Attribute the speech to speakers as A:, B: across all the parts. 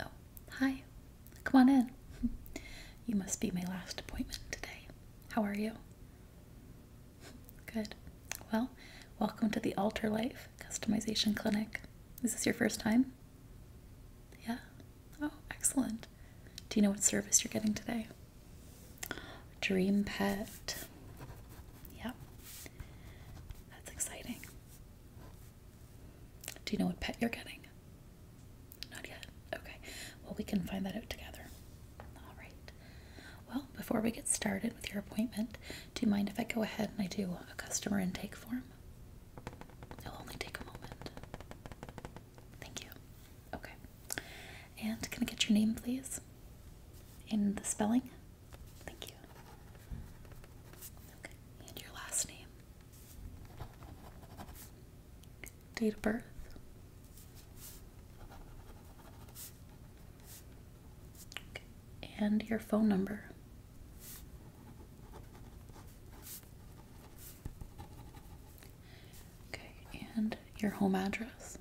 A: Oh, hi. Come on in. You must be my last appointment today. How are you? Good. Well, welcome to the Alter Life Customization Clinic. Is this your first time? Yeah? Oh, excellent. Do you know what service you're getting today? Dream Pet. Yeah. That's exciting. Do you know what pet you're getting? Not yet. Okay. Well, we can find that out together. All right. Well, before we get started with your appointment, do you mind if I go ahead and I do a customer intake form? It'll only take a moment. Thank you. Okay. And can I get your name, please? In the spelling? Thank you. Okay, and your last name, date of birth, okay. and your phone number. Okay, and your home address.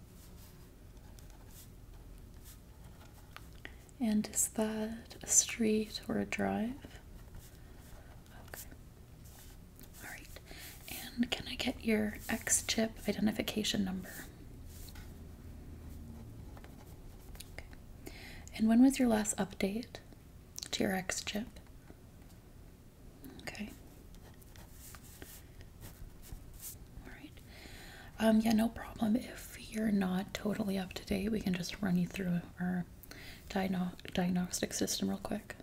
A: And is that a street or a drive? Okay. All right. And can I get your X chip identification number? Okay. And when was your last update to your X chip? Okay. All right. Um, yeah, no problem. If if you're not totally up to date, we can just run you through our diagnostic system real quick.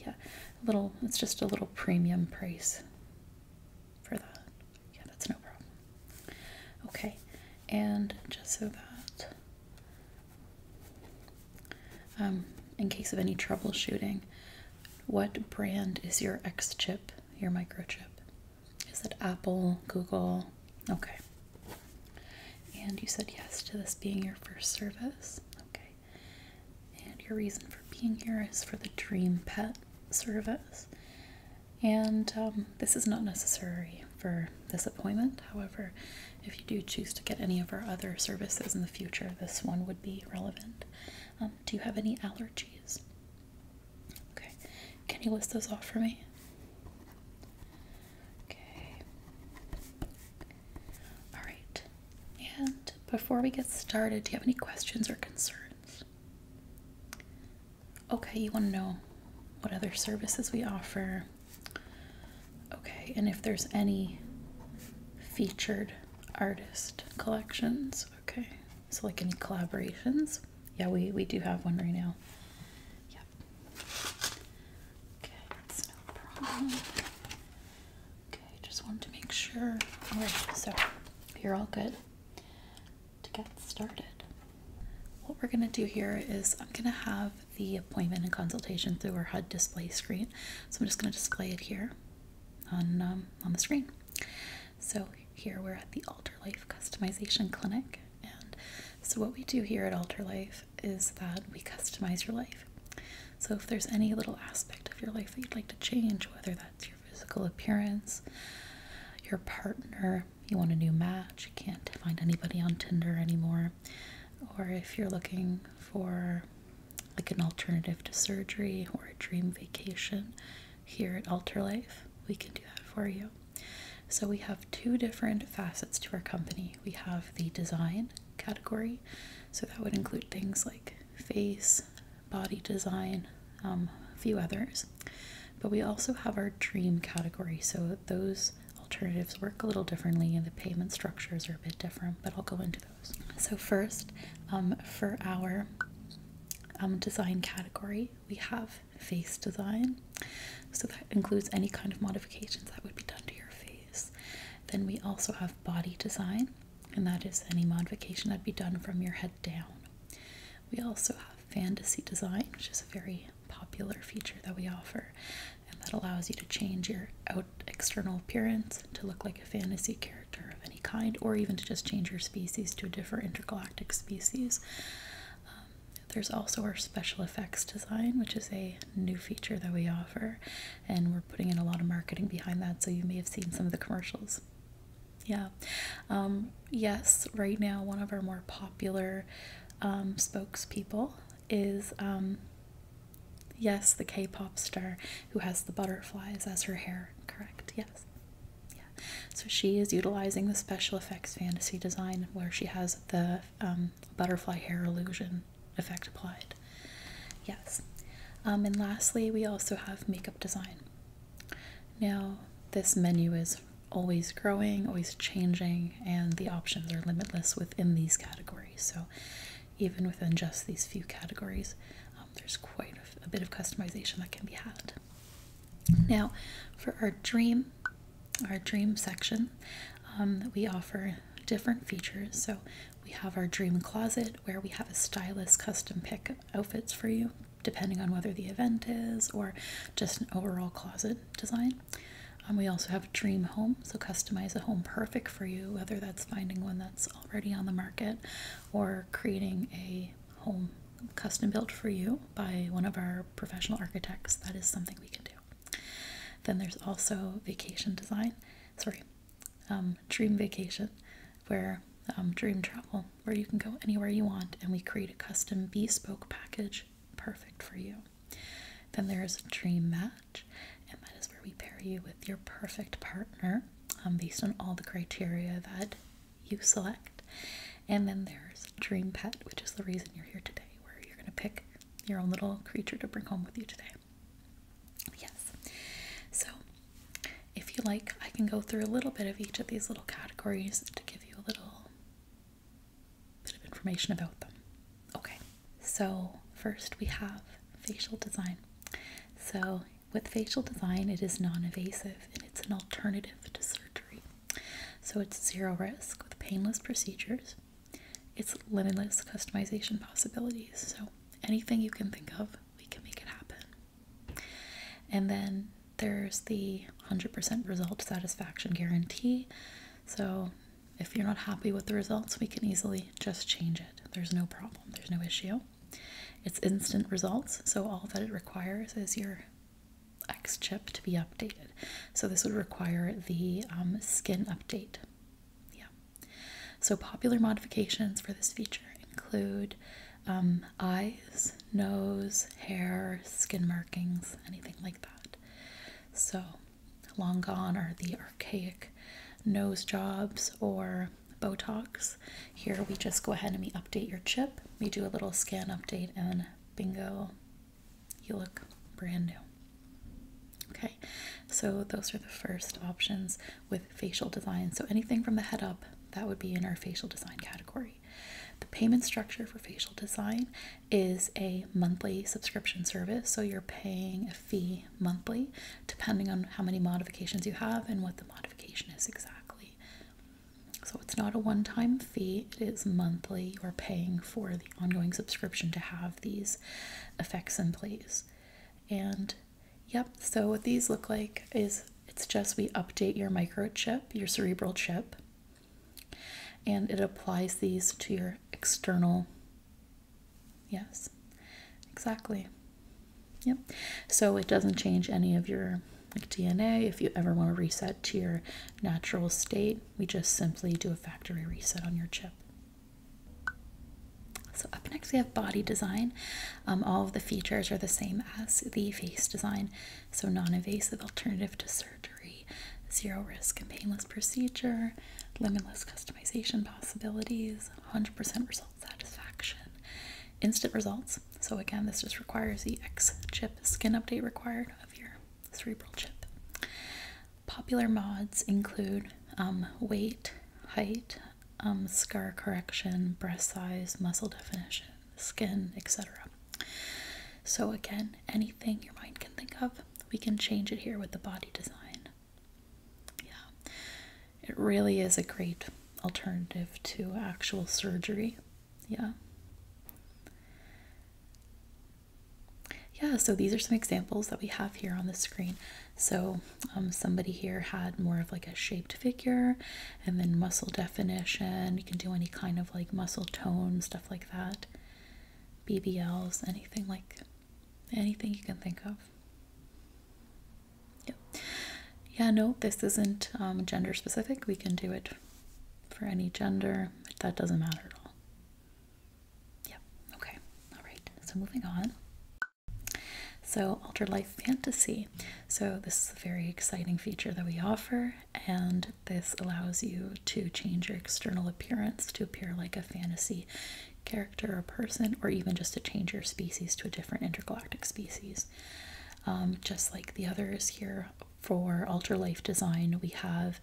A: Yeah, a little, it's just a little premium price for that. Yeah, that's no problem. Okay, and just so that, um, in case of any troubleshooting, what brand is your X chip, your microchip? Is it Apple, Google? Okay. And you said yes to this being your first service. Okay. And your reason for being here is for the Dream Pet service. And um, this is not necessary for this appointment. However, if you do choose to get any of our other services in the future, this one would be relevant. Um, do you have any allergies? Okay, can you list those off for me? Okay. All right. And before we get started, do you have any questions or concerns? Okay, you want to know what other services we offer. Okay, and if there's any featured artist collections. Okay, so like any collaborations. Yeah, we, we do have one right now. Yep. Okay, that's no problem. Okay, just wanted to make sure. All right, so you're all good to get started. What we're going to do here is I'm going to have the appointment and consultation through our HUD display screen. So I'm just going to display it here on, um, on the screen. So here we're at the Alter Life Customization Clinic and so, what we do here at Alter Life is that we customize your life. So, if there's any little aspect of your life that you'd like to change, whether that's your physical appearance, your partner, you want a new match, you can't find anybody on Tinder anymore, or if you're looking for like an alternative to surgery or a dream vacation here at Alter Life, we can do that for you. So, we have two different facets to our company. We have the design category, so that would include things like face, body design, um, a few others. But we also have our dream category, so those alternatives work a little differently and the payment structures are a bit different, but I'll go into those. So, first, um, for our um, design category, we have face design. So that includes any kind of modifications that would be done to your face. Then we also have body design, and that is any modification that'd be done from your head down. We also have fantasy design, which is a very popular feature that we offer, and that allows you to change your out external appearance to look like a fantasy character of any kind, or even to just change your species to a different intergalactic species there's also our special effects design, which is a new feature that we offer, and we're putting in a lot of marketing behind that, so you may have seen some of the commercials. Yeah. Um, yes, right now, one of our more popular um, spokespeople is. Um, yes, the K pop star who has the butterflies as her hair, correct? Yes. Yeah. So she is utilizing the special effects fantasy design where she has the um, butterfly hair illusion effect applied. Yes. Um, and lastly, we also have makeup design. Now, this menu is always growing, always changing, and the options are limitless within these categories. So, even within just these few categories, um, there's quite a bit of customization that can be had. Now, for our dream our dream section, um, we offer different features. So we have our dream closet where we have a stylist custom pick outfits for you, depending on whether the event is or just an overall closet design. Um, we also have dream home, so customize a home perfect for you, whether that's finding one that's already on the market or creating a home custom built for you by one of our professional architects, that is something we can do. Then there's also vacation design, sorry, um, dream vacation, where um, dream travel, where you can go anywhere you want and we create a custom bespoke package perfect for you. Then there's dream match, and that is where we pair you with your perfect partner um, based on all the criteria that you select. And then there's Dream Pet, which is the reason you're here today, where you're going to pick your own little creature to bring home with you today. Yes. So, if you like, I can go through a little bit of each of these little categories to give you a little bit of information about them. Okay. So, first we have facial design. So, with facial design, it is non invasive and it's an alternative to surgery. So it's zero risk with painless procedures. It's limitless customization possibilities. So anything you can think of, we can make it happen. And then there's the 100% result satisfaction guarantee. So if you're not happy with the results, we can easily just change it. There's no problem, there's no issue. It's instant results, so all that it requires is your X chip to be updated. So this would require the um, skin update. Yeah. So popular modifications for this feature include um, eyes, nose, hair, skin markings, anything like that. So long gone are the archaic nose jobs or Botox. Here we just go ahead and we update your chip. We do a little scan update and bingo, you look brand new. Okay, so those are the first options with facial design. So anything from the head up, that would be in our facial design category. The payment structure for facial design is a monthly subscription service. So you're paying a fee monthly, depending on how many modifications you have and what the modification is exactly. So it's not a one time fee, it is monthly. You're paying for the ongoing subscription to have these effects in place. And yep, so what these look like is it's just we update your microchip, your cerebral chip, and it applies these to your external. Yes, exactly. Yep. So it doesn't change any of your DNA. If you ever want to reset to your natural state, we just simply do a factory reset on your chip. So up next we have body design. Um, all of the features are the same as the face design. So non-invasive alternative to surgery, zero risk and painless procedure, limitless customization possibilities, 100% result satisfaction, instant results. So again, this just requires the X chip skin update required of your cerebral chip. Popular mods include um, weight, height, um, scar correction, breast size, muscle definition, skin, etc. So, again, anything your mind can think of, we can change it here with the body design. Yeah, it really is a great alternative to actual surgery. Yeah. Yeah, so these are some examples that we have here on the screen. So um, somebody here had more of like a shaped figure and then muscle definition. You can do any kind of like muscle tone, stuff like that. BBLs, anything like anything you can think of. Yeah, yeah no, this isn't um, gender specific. We can do it for any gender. That doesn't matter at all. Yep, okay, all right, so moving on. So, Altered Life Fantasy. So, this is a very exciting feature that we offer, and this allows you to change your external appearance to appear like a fantasy character or person, or even just to change your species to a different intergalactic species. Um, just like the others here for alter life design, we have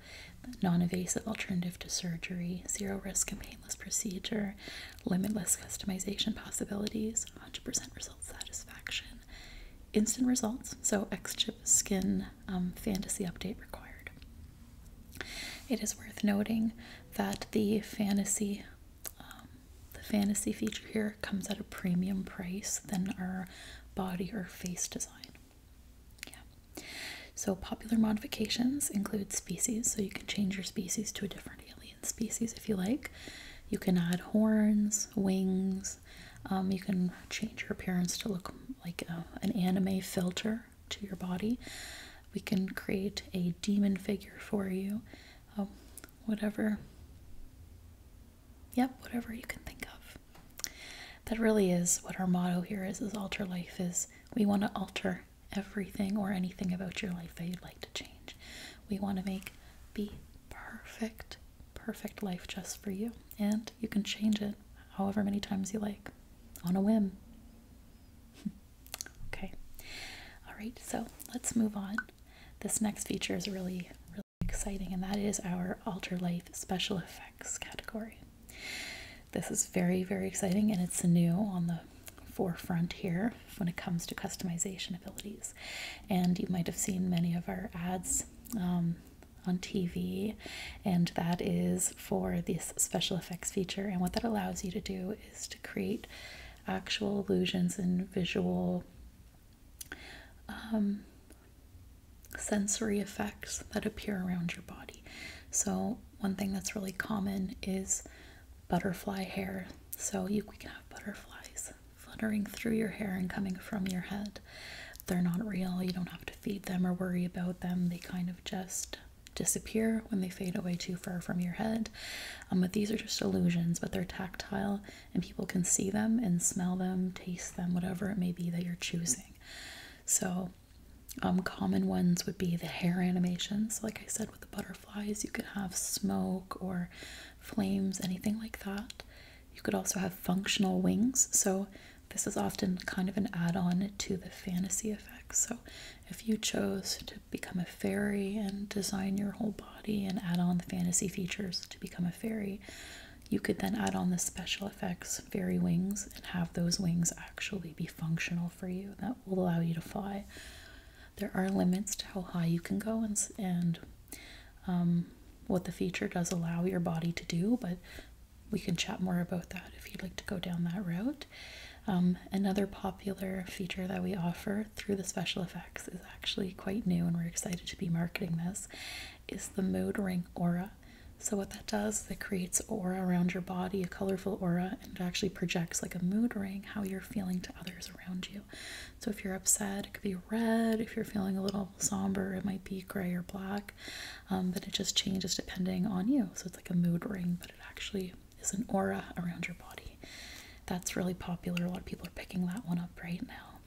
A: non-invasive alternative to surgery, zero risk and painless procedure, limitless customization possibilities, 100% result satisfaction, instant results, so X-Chip skin um, fantasy update required. It is worth noting that the fantasy um, the fantasy feature here comes at a premium price than our body or face design. Yeah. So popular modifications include species, so you can change your species to a different alien species if you like. You can add horns, wings. Um, you can change your appearance to look like an anime filter to your body. We can create a demon figure for you. Um, whatever. Yep, whatever you can think of. That really is what our motto here is, is alter life is we want to alter everything or anything about your life that you'd like to change. We want to make the perfect, perfect life just for you. And you can change it however many times you like on a whim. okay. All right. So let's move on. This next feature is really, really exciting, and that is our Alter Life special effects category. This is very, very exciting, and it's new on the forefront here when it comes to customization abilities. And you might have seen many of our ads um, on TV, and that is for this special effects feature. And what that allows you to do is to create actual illusions and visual um, sensory effects that appear around your body. So, one thing that's really common is butterfly hair. So, you can have butterflies fluttering through your hair and coming from your head. They're not real, you don't have to feed them or worry about them. They kind of just disappear when they fade away too far from your head. Um, but these are just illusions, but they're tactile and people can see them and smell them, taste them, whatever it may be that you're choosing. So, um, common ones would be the hair animations. Like I said, with the butterflies, you could have smoke or flames, anything like that. You could also have functional wings. So, this is often kind of an add on to the fantasy effects. So, if you chose to become a fairy and design your whole body and add on the fantasy features to become a fairy, you could then add on the special effects fairy wings and have those wings actually be functional for you. That will allow you to fly. There are limits to how high you can go and, and um, what the feature does allow your body to do, but we can chat more about that if you'd like to go down that route. Um, another popular feature that we offer through the special effects is actually quite new, and we're excited to be marketing this. Is the mood ring aura so, what that does is it creates aura around your body, a colorful aura, and it actually projects like a mood ring how you're feeling to others around you. So, if you're upset, it could be red. If you're feeling a little somber, it might be gray or black. Um, but it just changes depending on you. So, it's like a mood ring, but it actually is an aura around your body. That's really popular. A lot of people are picking that one up right now.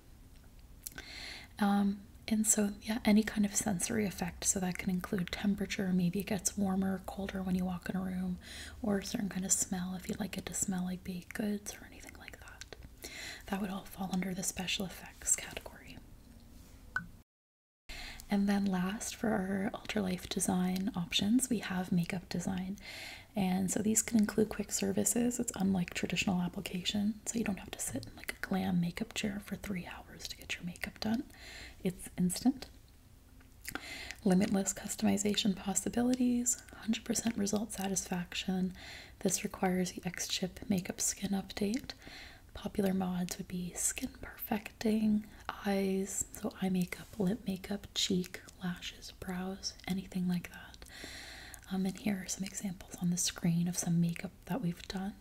A: Um, and so, yeah, any kind of sensory effect. So that can include temperature. Maybe it gets warmer or colder when you walk in a room, or a certain kind of smell if you would like it to smell like baked goods or anything like that. That would all fall under the special effects category. And then, last for our life design options, we have makeup design. And so these can include quick services. It's unlike traditional application, so you don't have to sit in like glam makeup chair for three hours to get your makeup done. It's instant. Limitless customization possibilities, 100% result satisfaction. This requires the X Chip makeup skin update. Popular mods would be skin perfecting, eyes, so eye makeup, lip makeup, cheek, lashes, brows, anything like that. Um, and here are some examples on the screen of some makeup that we've done.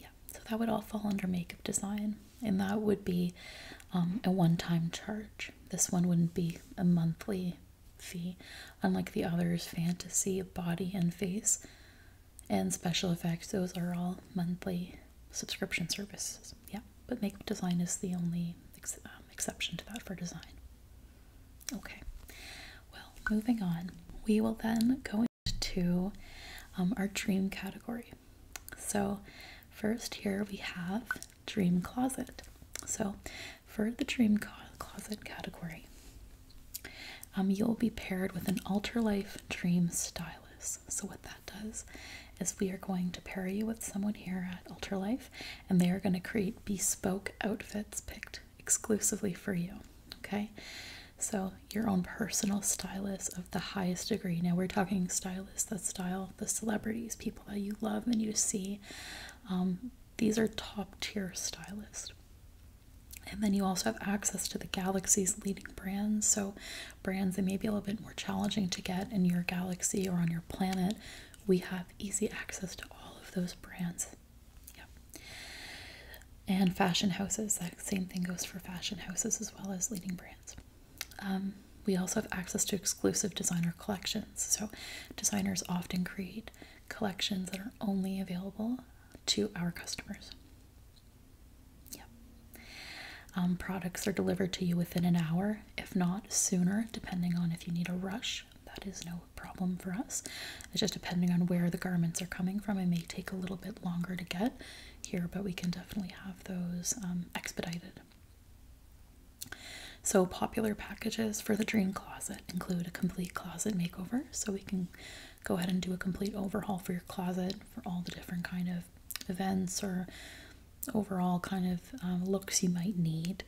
A: Yeah, so that would all fall under makeup design, and that would be um, a one time charge. This one wouldn't be a monthly fee, unlike the others fantasy, body, and face, and special effects. Those are all monthly subscription services. Yeah, but makeup design is the only um, exception to that for design. Okay, well, moving on, we will then go into um, our dream category. So, first, here we have dream closet. So, for the dream closet category, um, you'll be paired with an Ultralife Dream stylist. So, what that does is we are going to pair you with someone here at Ultralife, and they are going to create bespoke outfits picked exclusively for you. Okay, so your own personal stylist of the highest degree. Now, we're talking stylist. that style the celebrities, people that you love and you see. Um, these are top tier stylists. And then you also have access to the galaxy's leading brands. So, brands that may be a little bit more challenging to get in your galaxy or on your planet, we have easy access to all of those brands yeah. And fashion houses, that same thing goes for fashion houses as well as leading brands. Um, we also have access to exclusive designer collections. So, designers often create collections that are only available to our customers. Yep. Um, products are delivered to you within an hour, if not sooner, depending on if you need a rush. That is no problem for us. It's just depending on where the garments are coming from, it may take a little bit longer to get here, but we can definitely have those um, expedited. So, popular packages for the dream closet include a complete closet makeover. So, we can go ahead and do a complete overhaul for your closet for all the different kind of events or overall kind of um, looks you might need.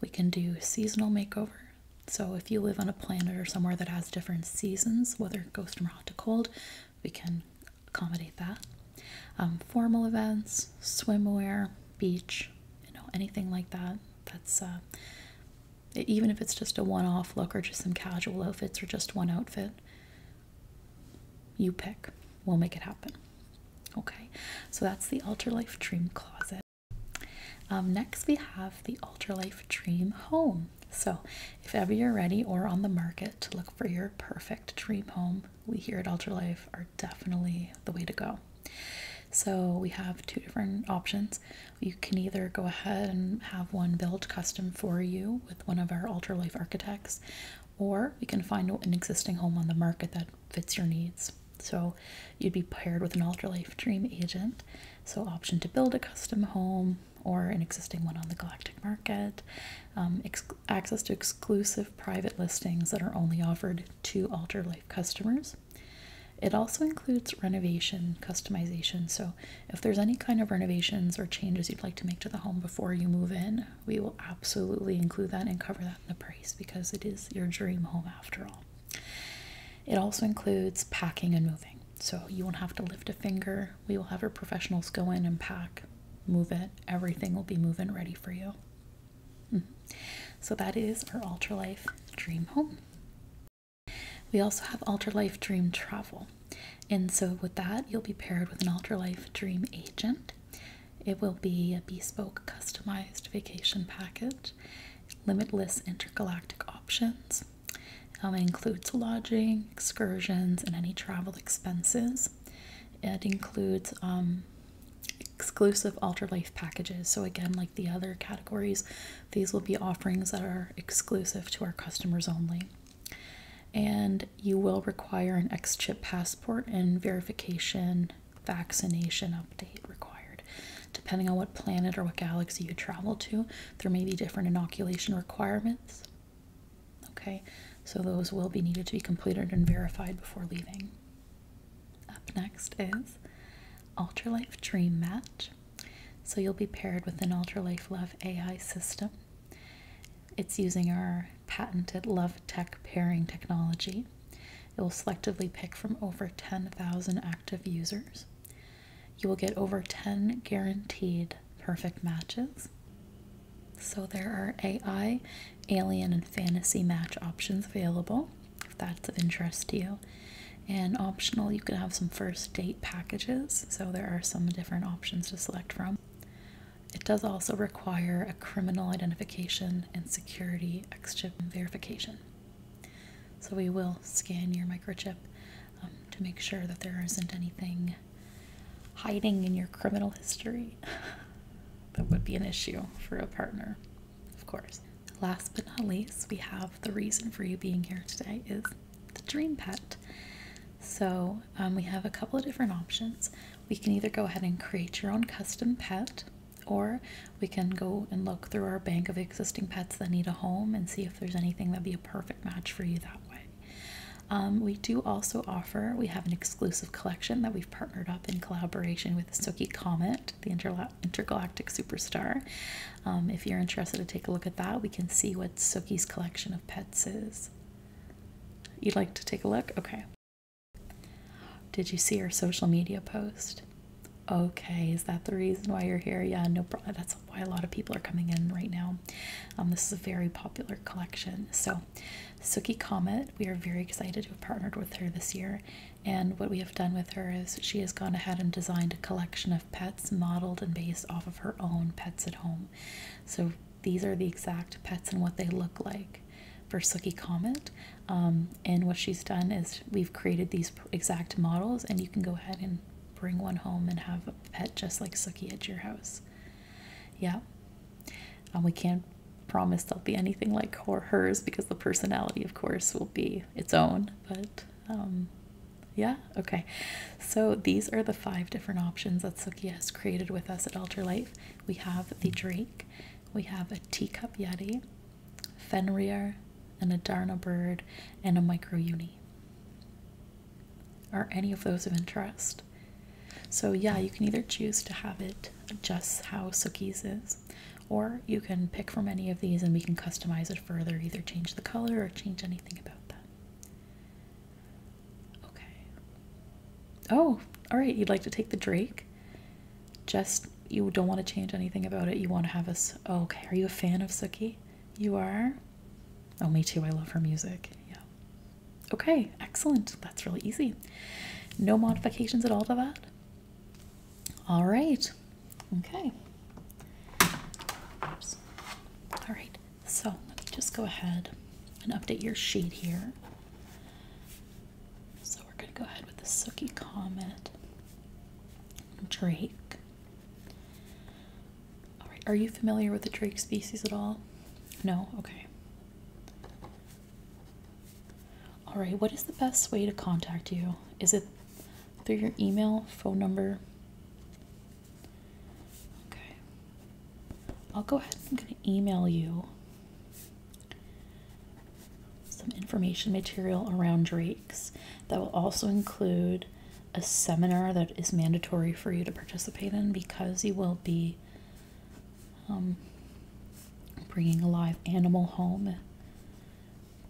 A: We can do seasonal makeover. So, if you live on a planet or somewhere that has different seasons, whether it goes from hot to cold, we can accommodate that. Um, formal events, swimwear, beach, you know, anything like that. That's uh, even if it's just a one off look or just some casual outfits or just one outfit, you pick. We'll make it happen. Okay, so that's the Alter Life Dream Closet. Um, next, we have the Ultralife Dream Home. So, if ever you're ready or on the market to look for your perfect dream home, we here at Ultralife are definitely the way to go. So, we have two different options. You can either go ahead and have one built custom for you with one of our Ultralife architects, or we can find an existing home on the market that fits your needs. So, you'd be paired with an Ultralife Dream agent so, option to build a custom home or an existing one on the Galactic Market, um, access to exclusive private listings that are only offered to Alter Life customers. It also includes renovation customization. So, if there's any kind of renovations or changes you'd like to make to the home before you move in, we will absolutely include that and cover that in the price because it is your dream home after all. It also includes packing and moving. So you won't have to lift a finger. We will have our professionals go in and pack, move it. Everything will be moving ready for you. Mm-hmm. So that is our Ultralife Dream Home. We also have Ultralife Dream Travel. And so with that, you'll be paired with an Ultralife Dream Agent. It will be a bespoke customized vacation package limitless intergalactic options. Um, it includes lodging, excursions, and any travel expenses. It includes um, exclusive Alter Life packages. So, again, like the other categories, these will be offerings that are exclusive to our customers only. And you will require an X chip passport and verification vaccination update required. Depending on what planet or what galaxy you travel to, there may be different inoculation requirements. Okay, so those will be needed to be completed and verified before leaving. Up next is Ultralife Dream Match. So you'll be paired with an Ultralife Love AI system. It's using our patented Love Tech pairing technology. It will selectively pick from over 10,000 active users. You will get over 10 guaranteed perfect matches. So there are AI, alien, and fantasy match options available if that's of interest to you. And optional, you can have some first date packages. So there are some different options to select from. It does also require a criminal identification and security X chip verification. So we will scan your microchip um, to make sure that there isn't anything hiding in your criminal history that would be an issue for a partner, of course. Last but not least, we have the reason for you being here today is the dream pet. So um, we have a couple of different options. We can either go ahead and create your own custom pet, or we can go and look through our bank of existing pets that need a home and see if there's anything that'd be a perfect match for you that way. Um, we do also offer, we have an exclusive collection that we've partnered up in collaboration with Sookie Comet, the intergalactic superstar. Um, if you're interested to take a look at that, we can see what Sookie's collection of pets is. You'd like to take a look? Okay. Did you see our social media post? Okay, is that the reason why you're here? Yeah, no problem. That's why a lot of people are coming in right now. Um, this is a very popular collection. So, Suki Comet, we are very excited to have partnered with her this year. And what we have done with her is she has gone ahead and designed a collection of pets modeled and based off of her own pets at home. So, these are the exact pets and what they look like for Suki Comet. Um, and what she's done is we've created these exact models, and you can go ahead and bring one home and have a pet just like Suki at your house. Yeah. And we can't promise they'll be anything like her hers because the personality, of course, will be its own. But um, yeah, okay. So these are the five different options that Suki has created with us at Alter Life. We have the Drake, we have a teacup yeti, Fenrir, an Adarna bird, and a micro uni. Are any of those of interest? So, yeah, you can either choose to have it just how Suki's is, or you can pick from any of these and we can customize it further, either change the color or change anything about that. Okay. Oh, all right, you'd like to take the Drake? Just, you don't want to change anything about it, you want to have us. Okay, are you a fan of Suki? You are? Oh, me too. I love her music. Yeah. Okay, excellent. That's really easy. No modifications at all to that? All right. Okay. All right. So let me just go ahead and update your sheet here. So we're going to go ahead with the Suki Comet, Drake, all right, are you familiar with the drake species at all? No? Okay. All right, what is the best way to contact you? Is it through your email, phone number? Okay. I'll go ahead I'm going to email you some information material around drakes that will also include a seminar that is mandatory for you to participate in because you will be um, bringing a live animal home.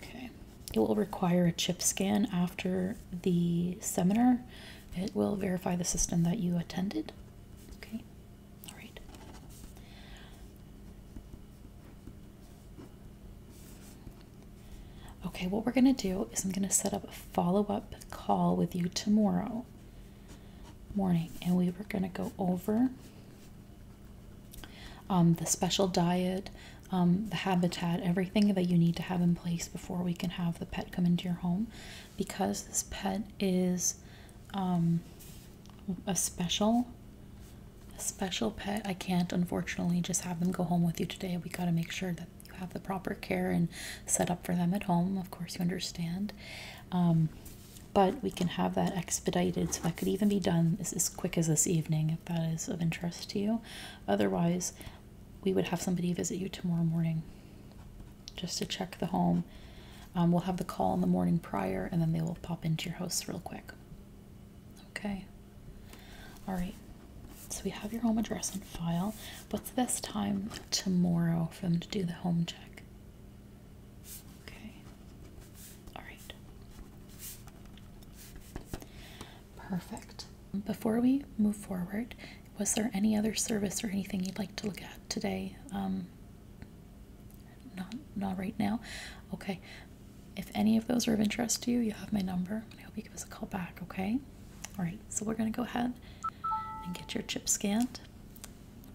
A: Okay, it will require a chip scan after the seminar. It will verify the system that you attended. Okay, all right. Okay, what we're going to do is I'm going to set up a follow up call with you tomorrow morning, and we are going to go over um, the special diet, um, the habitat, everything that you need to have in place before we can have the pet come into your home because this pet is um, a special. A special pet. I can't, unfortunately, just have them go home with you today we got to make sure that you have the proper care and set up for them at home. Of course, you understand. Um, but we can have that expedited, so that could even be done as, as quick as this evening if that is of interest to you. Otherwise, we would have somebody visit you tomorrow morning just to check the home. Um, we'll have the call in the morning prior, and then they will pop into your house real quick. Okay. All right, so we have your home address on file. What's the best time tomorrow for them to do the home check? Okay, all right, perfect. Before we move forward, was there any other service or anything you'd like to look at today? Um, not, not right now. Okay, if any of those are of interest to you, you have my number. I hope you give us a call back, okay? All right, so we're going to go ahead and get your chip scanned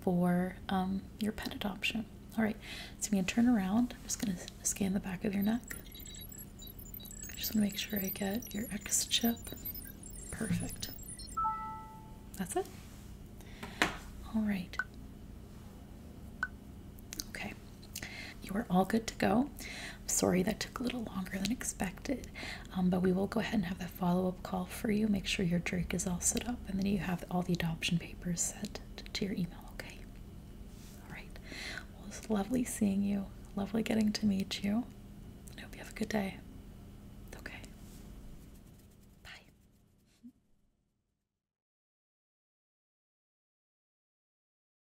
A: for um, your pet adoption. All right, so I'm going to turn around. I'm just going to scan the back of your neck. I just want to make sure I get your X chip. Perfect. That's it. All right. Okay, you are all good to go. I'm sorry that took a little longer than expected, um, but we will go ahead and have a follow up call for you. Make sure your drake is all set up and then you have all the adoption papers sent to your email, okay? All right. Well, it's lovely seeing you. Lovely getting to meet you. I hope you have a good day. Okay. Bye.